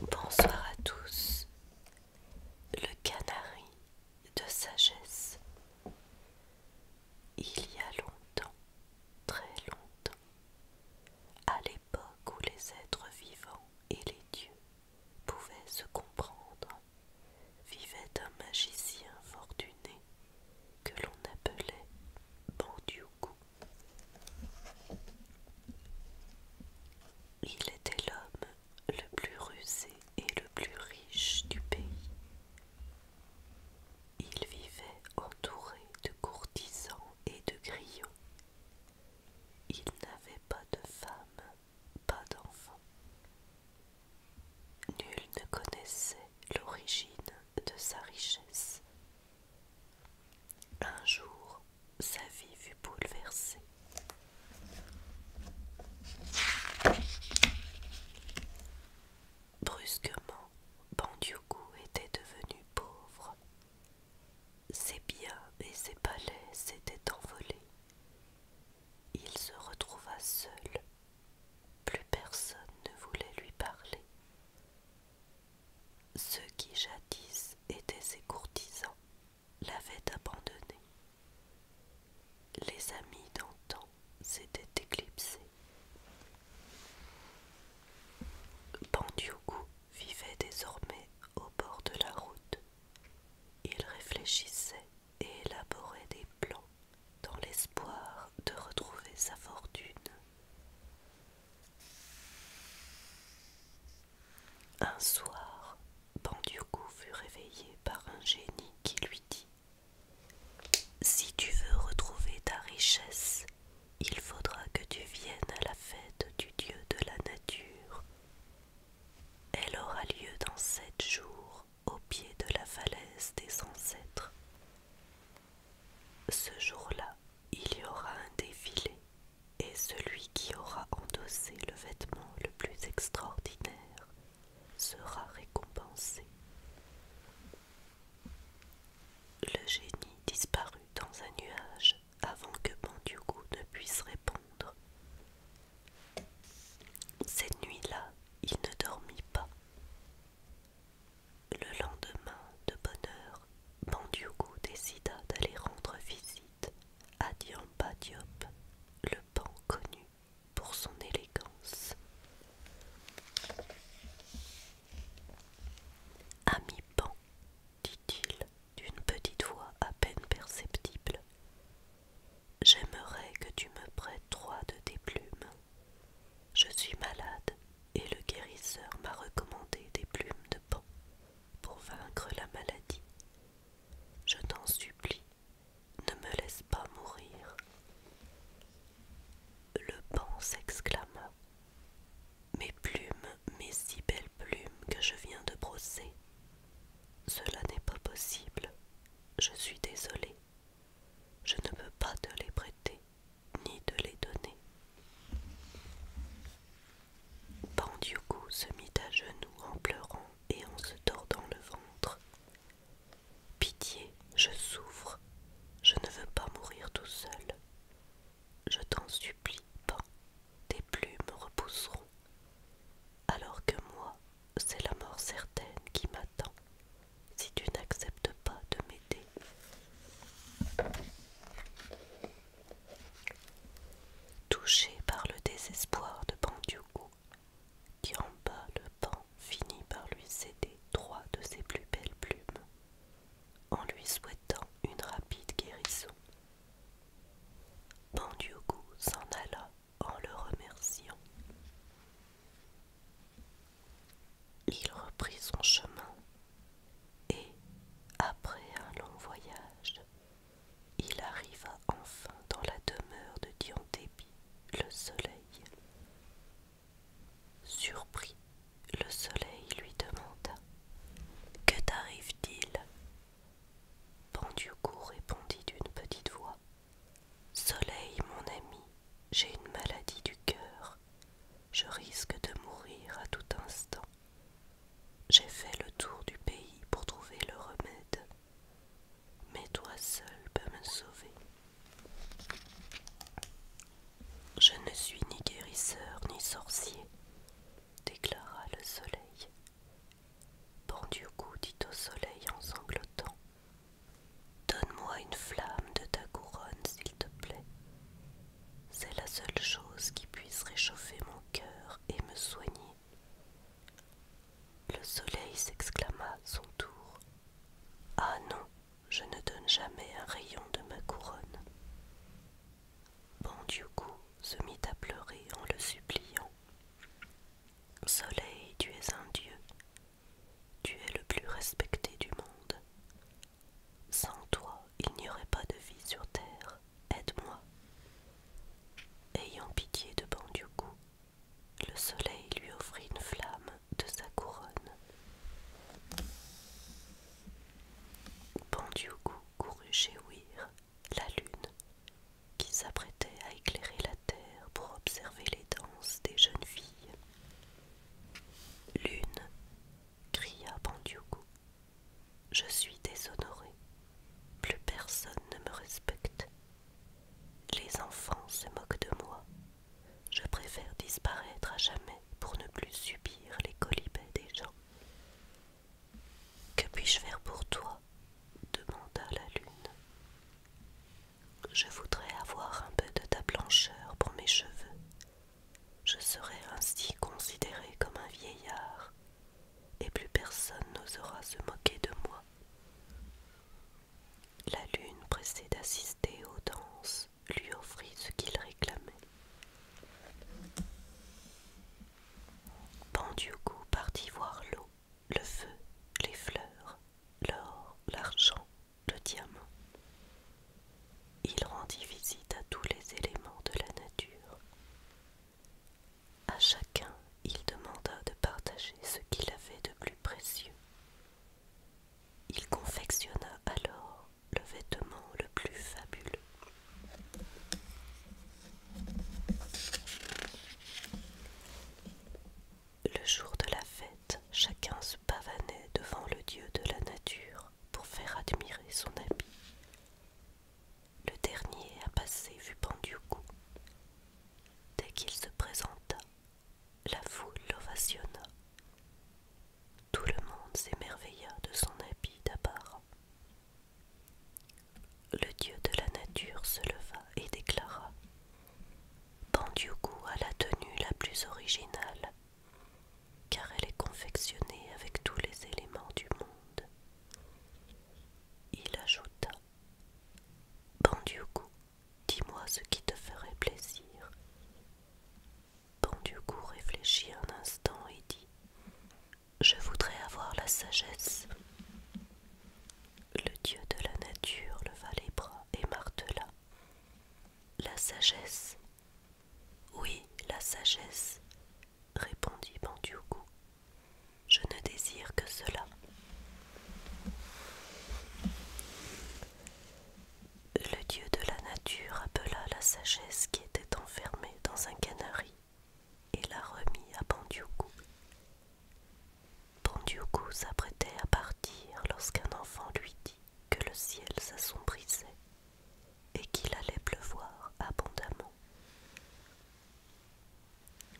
Bonsoir à tous. Le canari de sagesse. Il y a longtemps, très longtemps, à l'époque où les êtres vivants et les dieux pouvait se comprendre, vivait un magicien fortuné que l'on appelait Bandioukou. Il était l'homme le plus rusé et le plus riche du pays. Il vivait entouré de courtisans et de griots. Il n'avait pas de femme pas d'enfant. Nul ne connaissait l'origine de sa richesse. Un jour, sa vie fut bouleversée. Brusquement, pandyoku était devenu pauvre. Ses biens et ses palais s'étaient envolés. Il se retrouva seul. Plus personne ne voulait lui parler. Ceux qui jadis étaient ses courtisans l'avaient abandonné. Les amis d'antan s'étaient éclipsés. Bandioku vivait désormais au bord de la route. Il réfléchissait et élaborait des plans dans l'espoir de retrouver sa fortune. Un soir, Bandioko fut réveillé par un génie qui lui dit Si tu veux retrouver ta richesse, il faudra que tu viennes à la fête du dieu de la nature elle aura lieu dans sept jours au pied de la falaise des ancêtres. Ce jour-là, il y aura un défilé, et celui qui aura endossé le vêtement le plus extraordinaire sera récompensé. Le génie disparut dans un nuage avant que Mandiogou ne puisse répondre. Cette nuit-là, il ne dormit pas. Le lendemain, de bonne heure, Bandiougou décida d'aller rendre visite à Diamba Diop, le pan connu pour son élégance. Ami pan, dit-il d'une petite voix à peine perceptible, J'aimerais que tu me prêtes trois de tes plumes. Je suis malade et le guérisseur m'a recommandé des plumes de pan pour vaincre la maladie. Je t'en supplie, ne me laisse pas mourir. Le pan s'exclama. Mes plumes, mes si belles plumes que je viens de brosser, cela n'est pas possible. Je suis désolée. Je ne peux pas te les prêter, ni te les donner. Bandioku se mit à genoux en pleurant et en se tordant le ventre. Pitié, je souffre. Je ne veux pas mourir tout seul. Je t'en supplie, pas. Tes plumes repousseront, alors que moi, c'est la mort certaine qui m'attend si tu n'acceptes pas de m'aider. Touché par le désespoir de Bandioukou, qui en bas le pan finit par lui céder trois de ses plus belles plumes, en lui souhaitant une rapide guérison. Bandioukou s'en alla en le remerciant. Il reprit son chemin et, après un long voyage, il arriva enfin dans la demeure de Diantébi, le soleil. Surpris, le soleil lui demanda Que t'arrive-t-il répondit d'une petite voix. Soleil, mon ami, j'ai une maladie du cœur. Je risque de mourir à tout instant. J'ai fait le tour du pays pour trouver le remède. Mais toi seul peux me sauver. Je ne suis ni guérisseur ni sorcier, déclara le soleil. Bon dit au soleil en sanglotant. Donne-moi une flamme de ta couronne, s'il te plaît. C'est la seule chose qui puisse réchauffer mon cœur et me soigner. Le soleil s'exclama à son tour. Ah non, je ne donne jamais un rayon de ma couronne. Bandioukou se mit à pleurer en le suppliant. Soleil, tu es un dieu, tu es le plus respecté du monde. Sans toi, il n'y aurait pas de vie sur terre, aide-moi. Ayant pitié de Bandioukou, le soleil lui offrit une flamme de sa couronne. Bandioukou courut chez Ouir la lune, qui s'apprêtait à éclairer la terre pour observer les danses des jeunes filles. Lune, cria pandiogo, je suis déshonorée, plus personne ne me respecte. Les enfants se moquent de moi. Je préfère disparaître à jamais pour ne plus subir les colibets des gens. Que puis-je faire pour toi demanda la lune. Je voudrais avoir un peu de ta blancheur pour mes cheveux. Je serai ainsi considéré comme un vieillard, et plus personne n'osera se moquer de moi. La lune, pressée d'assister aux danses, lui offrit ce qu'il réclamait. Pendu partit voir l'eau le feu, les fleurs, l'or, l'argent, le diamant. Il rendit visite à tous les éléments de la nature. À chacun, il demanda de partager ce qu'il avait de plus précieux. Il confectionna alors le vêtement le plus fabuleux. Le jour de la fête, chacun se pavanait devant le dieu de la nature pour faire admirer son habit. Le dernier à passer fut coup Dès qu'il se présenta, la foule l'ovationna. Tout le monde s'émerveilla de son habit d'abord. Le dieu de la nature se leva et déclara Pandioukou a la tenue la plus originale, car elle est confectionnée avec tous les éléments du monde. Il ajouta Pandioukou, dis-moi ce qui te ferait plaisir. Pandioukou réfléchit un instant et dit je voudrais avoir la sagesse. Le dieu de la nature leva les bras et martela. La sagesse. Oui, la sagesse, répondit Bandiougou. Je ne désire que cela. Le dieu de la nature appela la sagesse qui était enfermée dans un canari et la remit à Bandiougou Bandiougou s'apprêtait à partir lorsqu'un enfant lui dit que le ciel s'assombrissait et qu'il allait pleuvoir abondamment.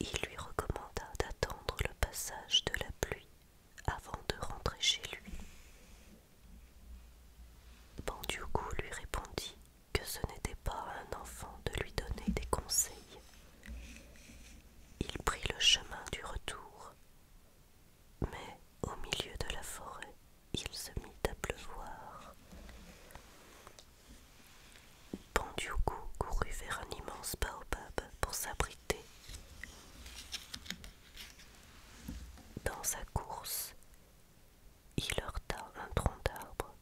Il lui recommanda d'attendre le passage de la pluie avant de rentrer chez lui. Bandiougou lui répondit que ce n'était pas à un enfant de lui donner des conseils, il prit le chemin du retour, mais au milieu de la forêt, il se mit à pleuvoir. Pandioukou courut vers un immense baobab pour s'abriter. Dans sa course, il heurta un tronc d'arbre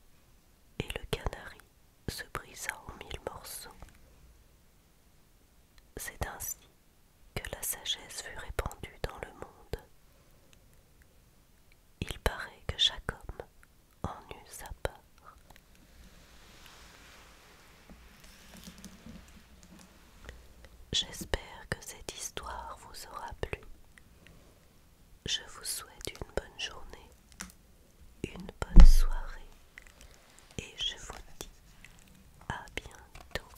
et le canari se brisa en mille morceaux. C'est ainsi que la sagesse fut répandue dans le monde. Il paraît que chaque homme en eut sa part. J'espère que cette histoire vous aura plu. Je vous souhaite une bonne journée une bonne soirée et je vous dis à bientôt.